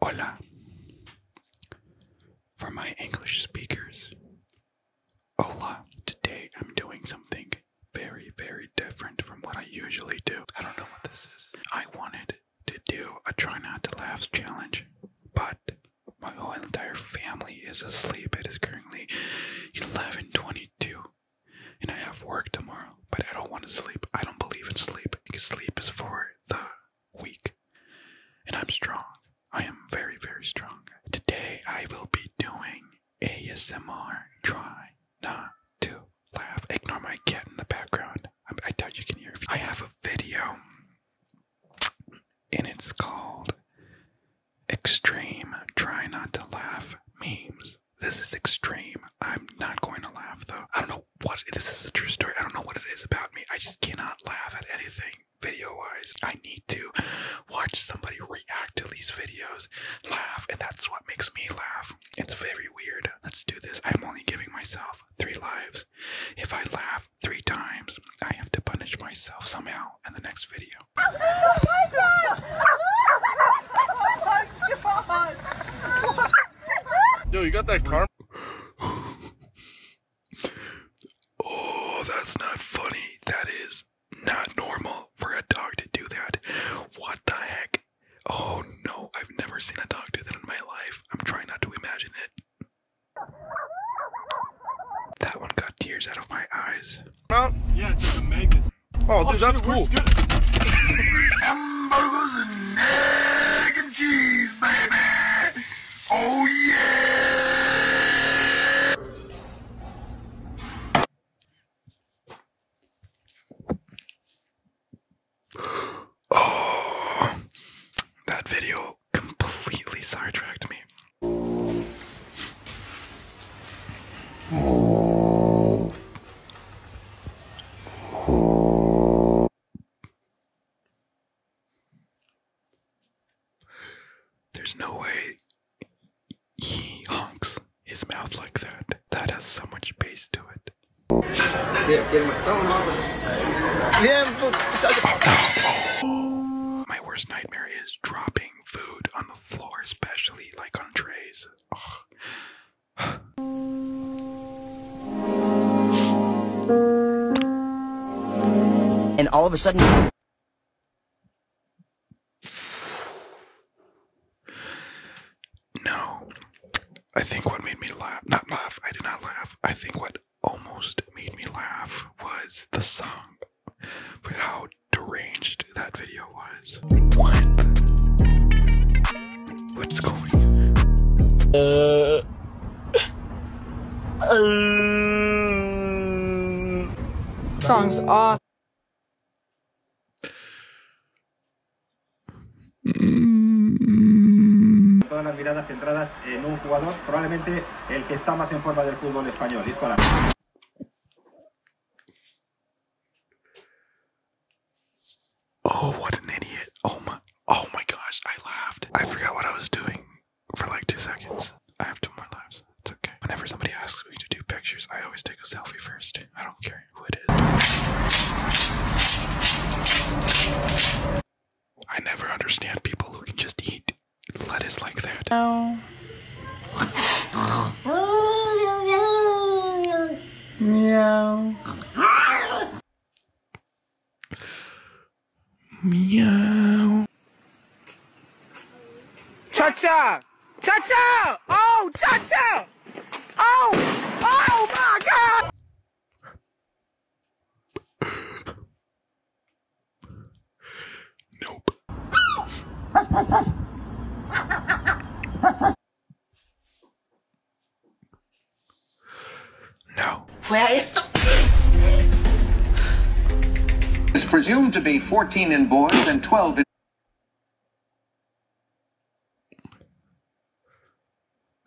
Hola. For my English speakers, hola. Today I'm doing something very, very different from what I usually do. I don't know what this is. I wanted to do a try not to laugh challenge, but my whole entire family is asleep. It is currently 11:22, and I have work tomorrow. But I don't want to sleep. I don't believe in sleep because sleep is for the weak. And I'm strong. I am very, very strong. Today I will be doing ASMR. Try not to laugh. Ignore my cat in the background. I, doubt you can hear it. I have a video, and it's called Extreme Try Not to Laugh Memes. This is extreme. I'm not going to laugh though. I don't know what this is a true story. I don't know what it is about me. I just cannot laugh at anything video wise. I need to watch somebody react to these videos, laugh, and that's what makes me laugh. It's very weird. Let's do this. I'm only giving myself three lives. If I laugh three times, I have to punish myself somehow in the next video. Oh my god! Yo, you got that car? oh, that's not funny. That is not normal for a dog to do that. What the heck? Oh no, I've never seen a dog do that in my life. I'm trying not to imagine it. That one got tears out of my eyes. Oh, oh, dude, that's cool. Oh, yeah! Oh, that video completely sidetracked me. There's no way he honks his mouth like that. That has so much bass to it. Yeah, get him Yeah, oh, no. oh. My worst nightmare is dropping food on the floor, especially like on trays. Oh and all of a sudden. No. I think what made me laugh, not laugh, I did not laugh. I think what almost made me laugh was the song for how deranged that video was. What? Todas las miradas centradas en un jugador, probablemente el que está más en forma del fútbol español, Oh, what an idiot. Oh my oh my gosh, I laughed. I forgot what I was doing for like two seconds. I have two more lives. It's okay. Whenever somebody asks me to do pictures, I always take a selfie first. I don't care who it is. I never understand people who can just eat lettuce like that. No. Meow. Meow. Cha cha! Cha cha! Oh, cha cha! Oh! Oh my god! Nope. No. Where is. the? It's presumed to be 14 in boys and 12 in.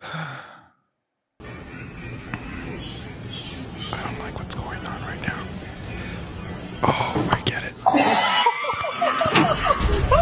I don't like what's going on right now. Oh, I get it.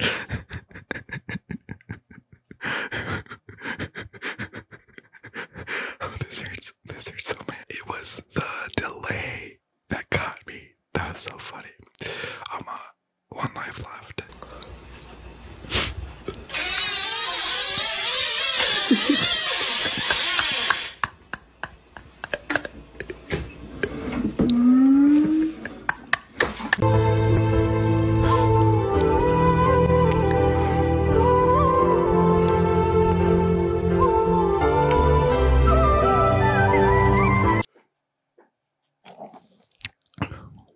oh, this hurts. This hurts so bad. It was the delay that got me. That was so funny. I'm uh, one life left.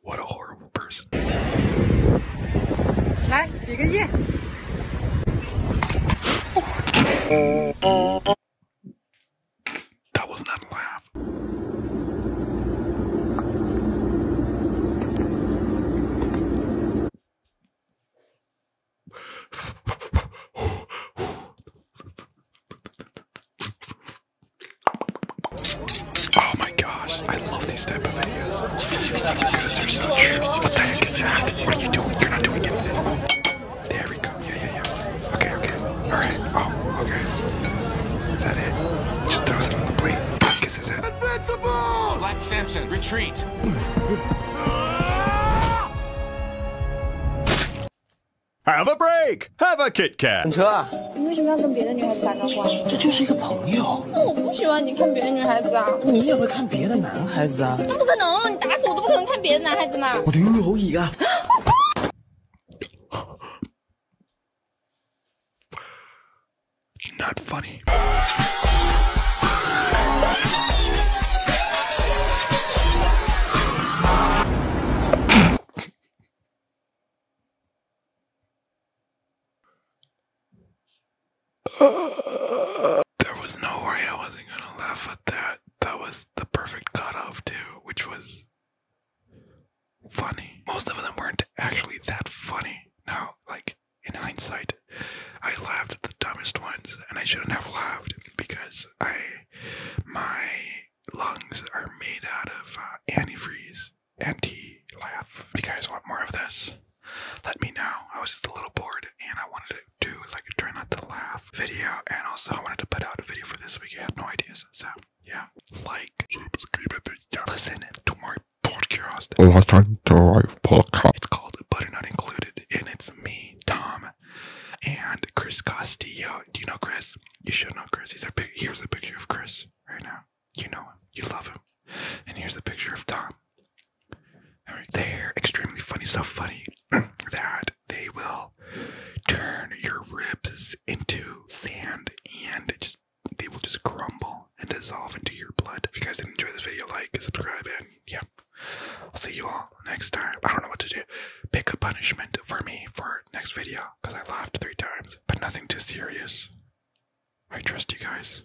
What a horrible person. 来，比个耶。that was not a laugh. Oh my gosh, I love these type of videos because they're so true. What the heck is that? What are you doing? You're not doing anything. There we go. Oh, okay. Is that it? Just throws it on the plate. Black Samson, retreat. Have a break! Have a Kit Kat! 等车啊！你为什么要跟别的女孩子打招呼啊？这就是一个朋友。那我不喜欢你看别的女孩子啊！你也会看别的男孩子啊？那不可能，你打死我都不可能看别的男孩子嘛！我的育偶椅啊！not funny. there was no way I wasn't gonna laugh at that. That was the perfect cutoff too, which was funny. Most of them weren't actually that funny. Now, like in hindsight, I laughed at the dumbest ones, and I shouldn't have laughed because I, my lungs are made out of uh, antifreeze. Anti laugh. If you guys want more of this, let me know. I was just a little bored, and I wanted to do like a try not to laugh video, and also I wanted to put out a video for this week. I have no ideas, so yeah, like, listen to my podcast. Listen to my podcast. It's called Butter Not Included, and it's me, Tom, and Chris Castillo. Do you know Chris? You should know Chris. He's a here's a picture of Chris right now. You know him. You love him. And here's a picture of Tom. They're extremely funny, so funny that they will turn your ribs into sand and just they will just crumble and dissolve into your blood. If you guys did enjoy this video, like, subscribe, and yeah. I'll see you all next time. I don't know what to do. Pick a punishment for me for next video because I laughed three times, but nothing too serious. I trust you guys.